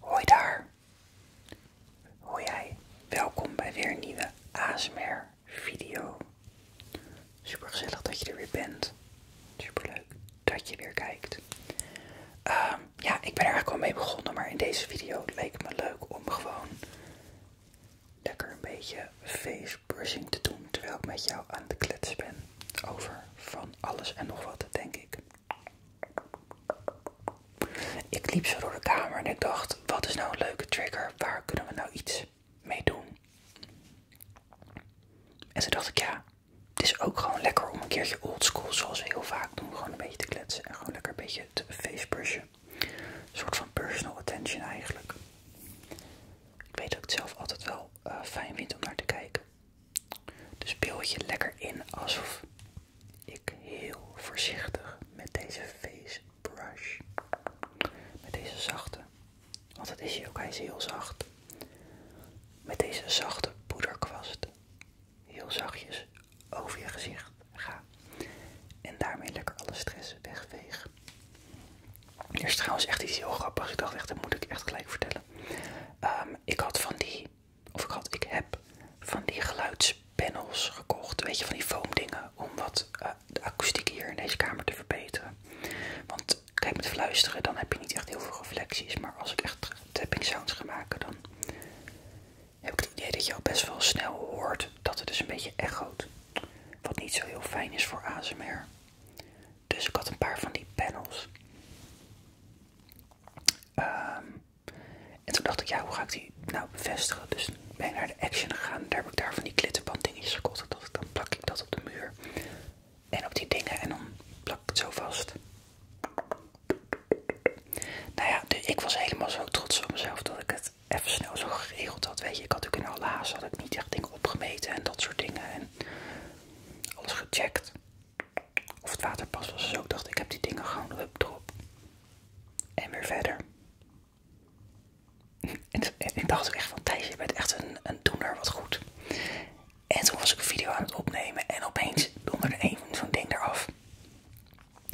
Hoi daar. Hoi jij. Welkom bij weer een nieuwe ASMR video. Super gezellig dat je er weer bent. Super leuk dat je weer kijkt. Ehm, ja, ik ben er eigenlijk al mee begonnen, maar in deze video leek het me leuk om gewoon lekker een beetje face brushing te doen terwijl ik met jou aan het kletsen ben over van alles en nog wat, denk ik. Ik liep zo door de kamer en ik dacht, wat is nou een leuke trigger? Waar kunnen we nou iets mee doen? En toen dacht ik, ja, het is ook gewoon lekker om een keertje oldschool, zoals we heel vaak doen, gewoon een beetje te kletsen. En gewoon lekker een beetje te facebrushen. Een soort van personal attention eigenlijk. Ik weet dat ik het zelf altijd wel eh, fijn vind om naar te kijken. Dus beeld je lekker in alsof ik heel voorzichtig met deze face brush, met deze zachte, want het is hier ook, eens heel zacht, met deze zachte poederkwast heel zachtjes over je gezicht ga. En daarmee lekker alle stress wegveeg. Er is trouwens echt iets heel grappigs. Ik dacht echt, dat moet ik echt gelijk vertellen. Ehm, ik had van die, of ik had, ik heb van die geluidspanels gekocht. Weet je, van die foamdingen om wat eh, de akoestiek hier in deze kamer te verbeteren. Want kijk, met fluisteren dan heb je niet echt heel veel reflecties. Maar als ik echt tapping sounds ga maken, dan heb ik het idee dat je al best wel snel hoort dat het dus een beetje echoot. Wat niet zo heel fijn is voor ASMR. Dus ik had een paar van die panels. Ehm, en toen dacht ik, ja, hoe ga ik die nou bevestigen? Dus ben ik naar de Action gegaan. Daar heb ik daar van die klittenband dingetjes gekocht. Dat dan plak ik dat op de muur. En op die dingen. En dan plak ik het zo vast. Nou ja, dus ik was helemaal zo trots op mezelf dat ik het even snel zo geregeld had. Weet je, ik had natuurlijk in Alaas had ik niet echt dingen opgemeten en dat soort dingen. En alles gecheckt. Of het waterpas was. Zo ook dacht ik heb die dingen gewoon hup drop. En weer verder. En, ik dacht ook echt van Thijs, je bent echt een, een doener wat goed. En toen was ik een video aan het opnemen en opeens donderde een zo'n ding eraf.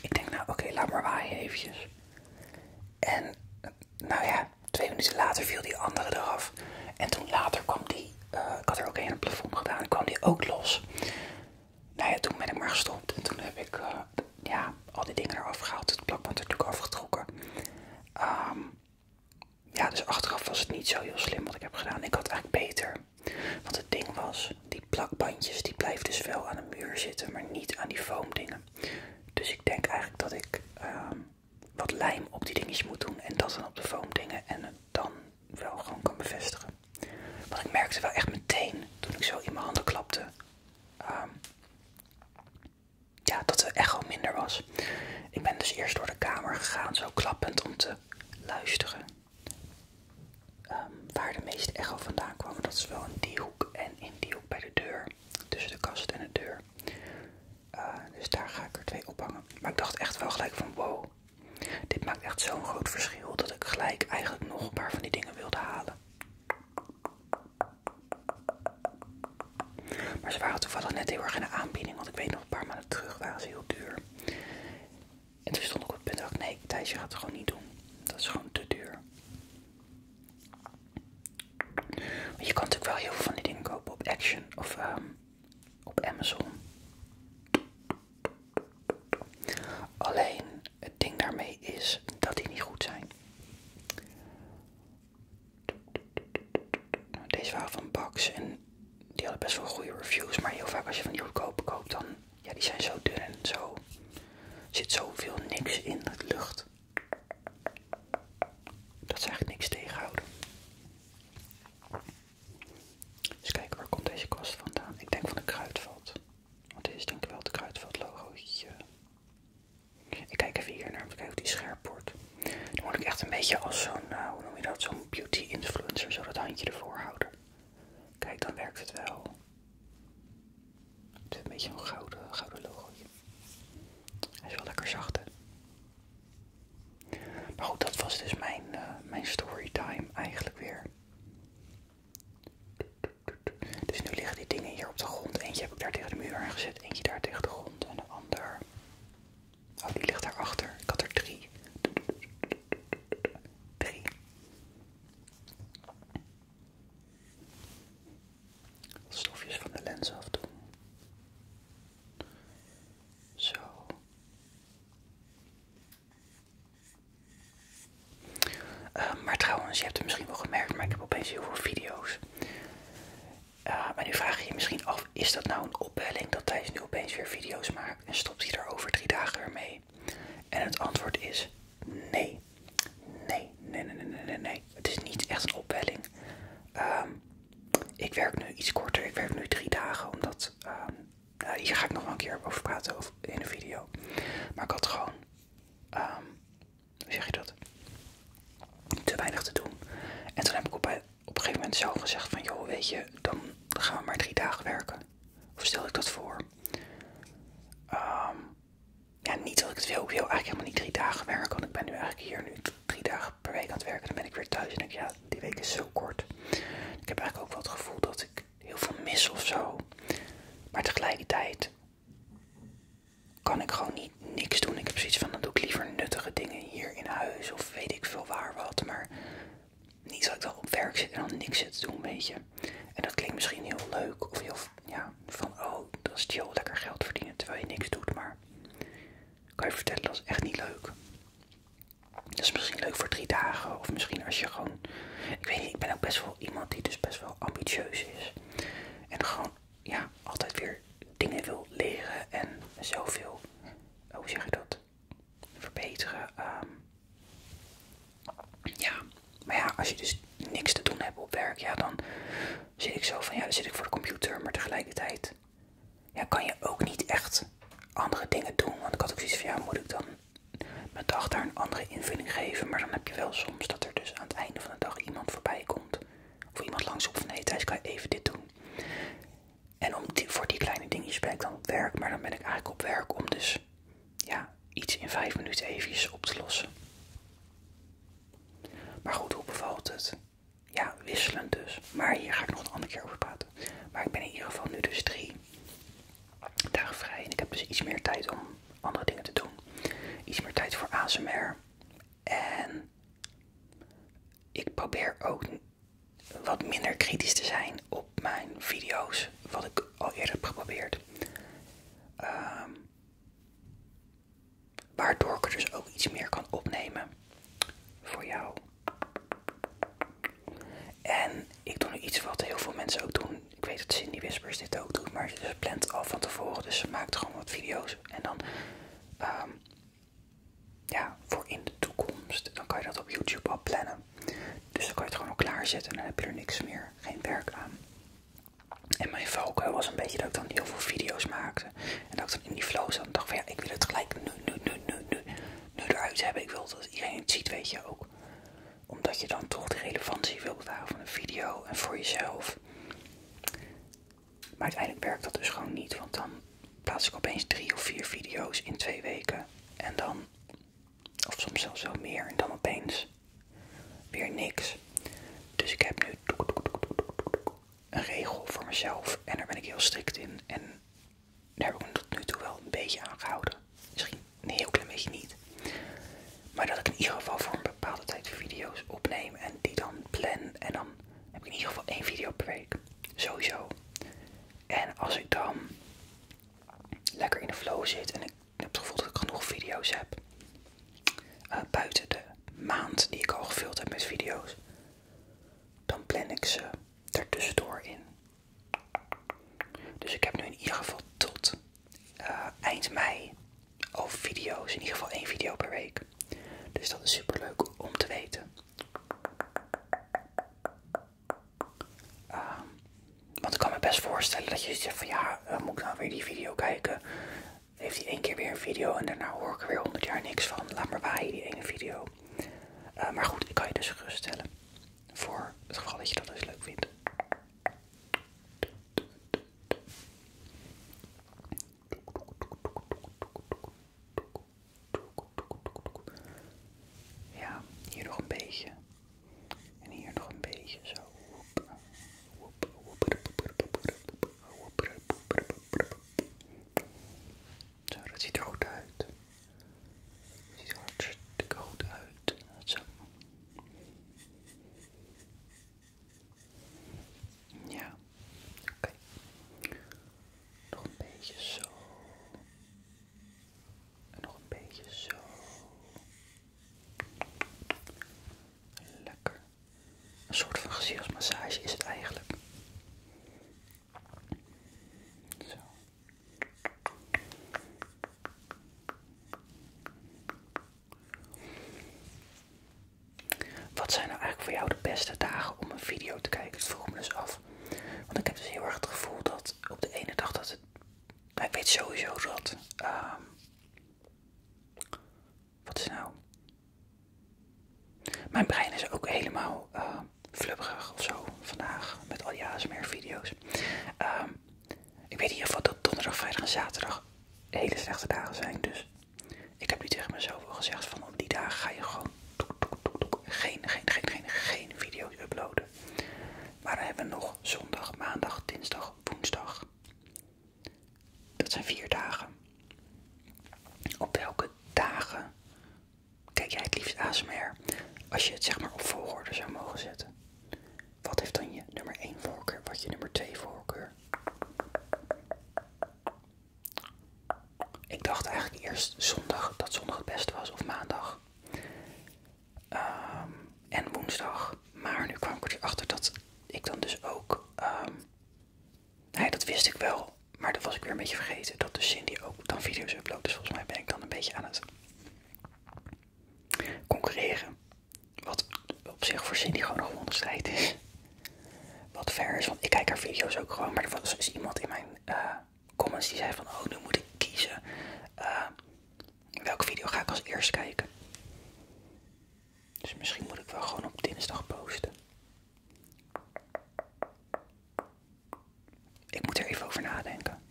Ik denk nou oké, laat maar waaien eventjes. En nou ja, twee minuten later viel die andere eraf. En toen later kwam die, eh, ik had er ook één plafond gedaan, kwam die ook los. Nou ja, toen ben ik maar gestopt. En toen heb ik eh, ja, al die dingen eraf gehaald. Het plakband natuurlijk afgetrokken. Ehm, ja, dus achteraf was het niet zo heel slim wat ik heb gedaan. Ik had eigenlijk beter. Want het ding was, die plakbandjes die blijven dus wel aan de muur zitten, maar niet aan die foamdingen. Dus ik denk eigenlijk dat ik ehm, wat lijm op die dingetjes moet doen en dat dan op de foam dingen en het dan wel gewoon kan bevestigen. Want ik merkte wel echt meteen toen ik zo in mijn handen klapte, ehm, ja, dat de echo minder was. Ik ben dus eerst door de kamer gegaan, zo klappend om te luisteren ehm, waar de meeste echo vandaan kwam. Dat is wel in die hoek en in die hoek bij de deur, tussen de kast en de deur. Eh, dus daar ga ik er twee ophangen. Maar ik dacht echt wel gelijk van wow. Dit maakt echt zo'n groot verschil dat ik gelijk eigenlijk nog een paar van die dingen wilde halen. Maar ze waren toevallig net heel erg in de aanbieding, want ik weet nog een paar maanden terug waren ze heel duur. En toen stond ik op het punt dat ik nee, Thijsje gaat het gewoon niet doen. Dat is gewoon te duur. Je kan natuurlijk wel heel veel van die dingen kopen op Action of ehm, op Amazon. Alleen het ding daarmee is dat die niet goed zijn. Deze waren van box en die hadden best wel goede reviews. Maar heel vaak als je van die goedkope koopt, dan ja, die zijn zo dun en zo. Er zit zoveel niks in het lucht. Dat zegt eigenlijk niks tegenhouden. Dus kijken, waar komt deze kwast vandaan? Ik denk van de kruidvat. Want dit is denk ik wel het kruidvat Ik kijk even hier naar om te kijken of die scherp wordt. Dan moet ik echt een beetje als zo'n, eh, hoe noem je dat, zo'n beauty influencer zo dat handje ervoor houden. Kijk, dan werkt het wel. Het is een beetje een gouden, gouden Hij is wel lekker zacht, hè? Maar goed, dat was dus mijn, eh, mijn storytime eigenlijk weer. Dus nu liggen die dingen hier op de grond. Eentje heb ik daar tegen de muur aangezet, eentje daar tegen de grond en een ander. Oh, die ligt daarachter. Ik had er drie. Drie stofjes van de lens afdoen. Zo. Ehm, maar trouwens, je hebt het misschien wel gemerkt, maar ik heb opeens heel veel video's. maar ehm, nu vraag je je misschien af, is dat nou een opwelling dat Thijs nu opeens weer video's maakt en stopt hij daar over drie dagen ermee? mee? En het antwoord is Nee. Nee, nee, nee, nee, nee, nee. Het is niet echt een opwelling. Ehm, ik werk nu iets korter. Ik werk nu drie dagen, omdat... Ehm, nou, hier ga ik nog wel een keer over praten in de video. Maar ik had gewoon... Ehm, hoe zeg je dat? Te weinig te doen. En toen heb ik op, een gegeven moment zelf gezegd van... Joh, weet je, dan gaan we maar drie dagen werken. Of stel ik dat voor? ja, niet dat ik het wil. veel eigenlijk helemaal niet drie dagen werken. Want ik ben nu eigenlijk hier nu drie dagen per week aan het werken. Dan ben ik weer thuis en denk ik, ja, die week is zo kort. Ik heb eigenlijk ook wel het gevoel dat ik heel veel mis of zo. Maar tegelijkertijd kan ik gewoon niet niks doen. Ik heb zoiets van, dan doe ik liever nuttige dingen hier in huis of weet ik veel waar wat. Maar niet dat ik dan op werk zit en dan niks zit te doen, weet je. En dat klinkt misschien heel leuk of heel ja, van oh, dat is chill, lekker geld verdienen terwijl je niks doet, maar kan je vertellen dat is echt niet leuk. Dat is misschien leuk voor drie dagen of misschien als je gewoon, ik weet niet, ik ben ook best wel iemand die dus best wel ambitieus is en gewoon ja, altijd weer dingen wil leren en zoveel, hoe zeg je dat, verbeteren. Ehm, ja, maar ja, als je dus niks te doen hebt op werk, ja, dan zit ik zo van, ja, dan zit ik voor de computer, maar tegelijkertijd ja, kan je ook niet echt andere dingen doen. Want ik had ook zoiets van, ja, moet ik dan mijn dag daar een andere invulling geven? Maar dan heb je wel soms dat er dus aan het einde van de dag iemand voorbij komt. Of iemand langs op van, nee, hey, Thijs, kan je even dit doen? En om voor die kleine dingetjes ben ik dan op werk, maar dan ben ik eigenlijk op werk om dus ja, iets in vijf minuten eventjes op te lossen. Maar goed, hoe bevalt het? Ja, wisselen dus. Maar hier ga ik nog een andere keer over praten. Maar ik ben in ieder geval nu dus drie dagen vrij. En ik heb dus iets meer tijd om andere dingen te doen. Iets meer tijd voor ASMR. En ik probeer ook wat minder kritisch te zijn op mijn video's, wat ik al eerder heb geprobeerd. Ehm, waardoor ik er dus ook iets meer kan opnemen voor jou. En ik doe nu iets wat heel veel mensen ook doen. Ik weet dat Cindy Whispers dit ook doet, maar ze plant al van tevoren. Dus ze maakt gewoon wat video's. En dan, ehm, ja, voor in de toekomst, dan kan je dat op YouTube al plannen. Dus dan kan je het gewoon al klaarzetten en dan heb je er niks meer, geen werk aan. En mijn focus was een beetje dat ik dan heel veel video's maakte. En dat ik dan in die flow zat en dacht van ja, ik wil het gelijk nu, nu, nu, nu, nu, eruit hebben. Ik wil dat iedereen het ziet, weet je ook. Omdat je dan toch de relevantie wilt bewaren van een video en voor jezelf. Maar uiteindelijk werkt dat dus gewoon niet, want dan plaats ik opeens drie of vier video's in twee weken. En dan of soms zelfs wel meer. En dan opeens weer niks. Dus ik heb nu een regel voor mezelf. En daar ben ik heel strikt in. En daar heb ik me tot nu toe wel een beetje aan gehouden. Misschien een heel klein beetje niet. Maar dat ik in ieder geval voor een bepaalde tijd video's opneem en die dan plan. En dan heb ik in ieder geval één video per week. Sowieso. En als ik dan lekker in de flow zit en ik heb het gevoel dat ik genoeg video's heb, eh, buiten de maand die ik al gevuld heb met video's, dan plan ik ze ertussendoor in. Dus ik heb nu in ieder geval tot eh, eind mei al video's, in ieder geval één video per week. Dus dat is super leuk om te weten. Ehm, want ik kan me best voorstellen dat je zegt van ja, eh, moet ik nou weer die video kijken? Heeft hij één keer weer een video en daarna hoor ik er weer honderd jaar niks van. Laat maar waaien die ene video. Eh, maar goed, ik kan je dus gerust stellen Voor het geval dat je dat eens dus leuk vindt. Ja, hier nog een beetje. En hier nog een beetje zo. Zo, dat ziet er goed uit. Dat ziet er hartstikke goed uit. Zo. Ja, oké. Nog een beetje zo. En nog een beetje zo. Lekker. Een soort van gezichtsmassage is het eigenlijk. Zo. Wat zijn nou eigenlijk voor jou de beste dagen om een video te kijken? Dat vroeg me dus af. Want ik heb dus heel erg het gevoel dat op de ene dag dat het. Nou, ik weet sowieso dat. Ehm, wat is nou? Mijn brein is ook helemaal uh, flubberig of zo vandaag met al die meer videos ehm, ik weet in ieder geval dat donderdag, vrijdag en zaterdag hele slechte dagen zijn. Dus ik heb nu tegen mezelf gezegd van op die dagen ga je gewoon geen, geen, geen, geen, geen video's uploaden. Maar dan hebben nog zondag, maandag, dinsdag, woensdag. Dat zijn vier dagen. Op welke dagen kijk jij het liefst ASMR als je het zeg maar op volgorde zou mogen zetten? Wat heeft dan je nummer 1 voorkeur? Wat je nummer 2 voorkeur? Ik dacht eigenlijk eerst zondag dat zondag het beste was, of maandag. Ehm, en woensdag. Maar nu kwam ik achter dat ik dan dus ook. Ehm, nee, dat wist ik wel. Maar dat was ik weer een beetje vergeten. Dat dus Cindy ook dan video's uploadt. Dus volgens mij ben ik dan een beetje aan het concurreren. Wat op zich voor Cindy gewoon een gewonnen strijd is. Wat ver is, want ik kijk haar video's ook gewoon. Maar er was dus iemand in mijn eh, comments die zei van, oh nu moet ik kiezen. Eh, welke video ga ik als eerst kijken? Dus misschien moet ik wel gewoon op dinsdag posten. Ik moet er even over nadenken.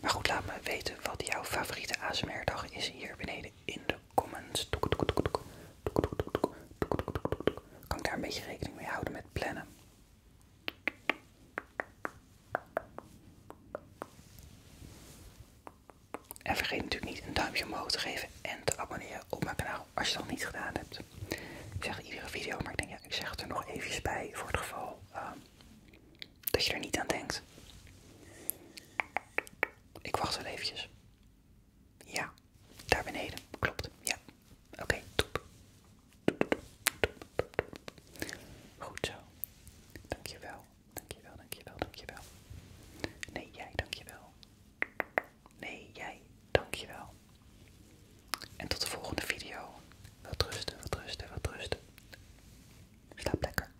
Maar goed, laat me weten wat jouw favoriete asmr is hier beneden in de comments. Kan ik daar een beetje rekening mee houden met plannen? En vergeet natuurlijk niet een duimpje omhoog te geven en te abonneren op mijn kanaal als je dat niet gedaan hebt. Ik zeg iedere video, maar ik denk ja, ik zeg het er nog eventjes bij voor het geval ehm, dat je er niet aan denkt. Ik wacht wel eventjes. Ja, daar beneden. Klopt. Ja. Oké, je top. Goed zo. Dankjewel. Dankjewel, dankjewel, dankjewel. Nee, jij, dankjewel. Nee, jij, dankjewel. En tot de volgende video. Wat rusten, wat rusten, wat rusten. Slaap lekker.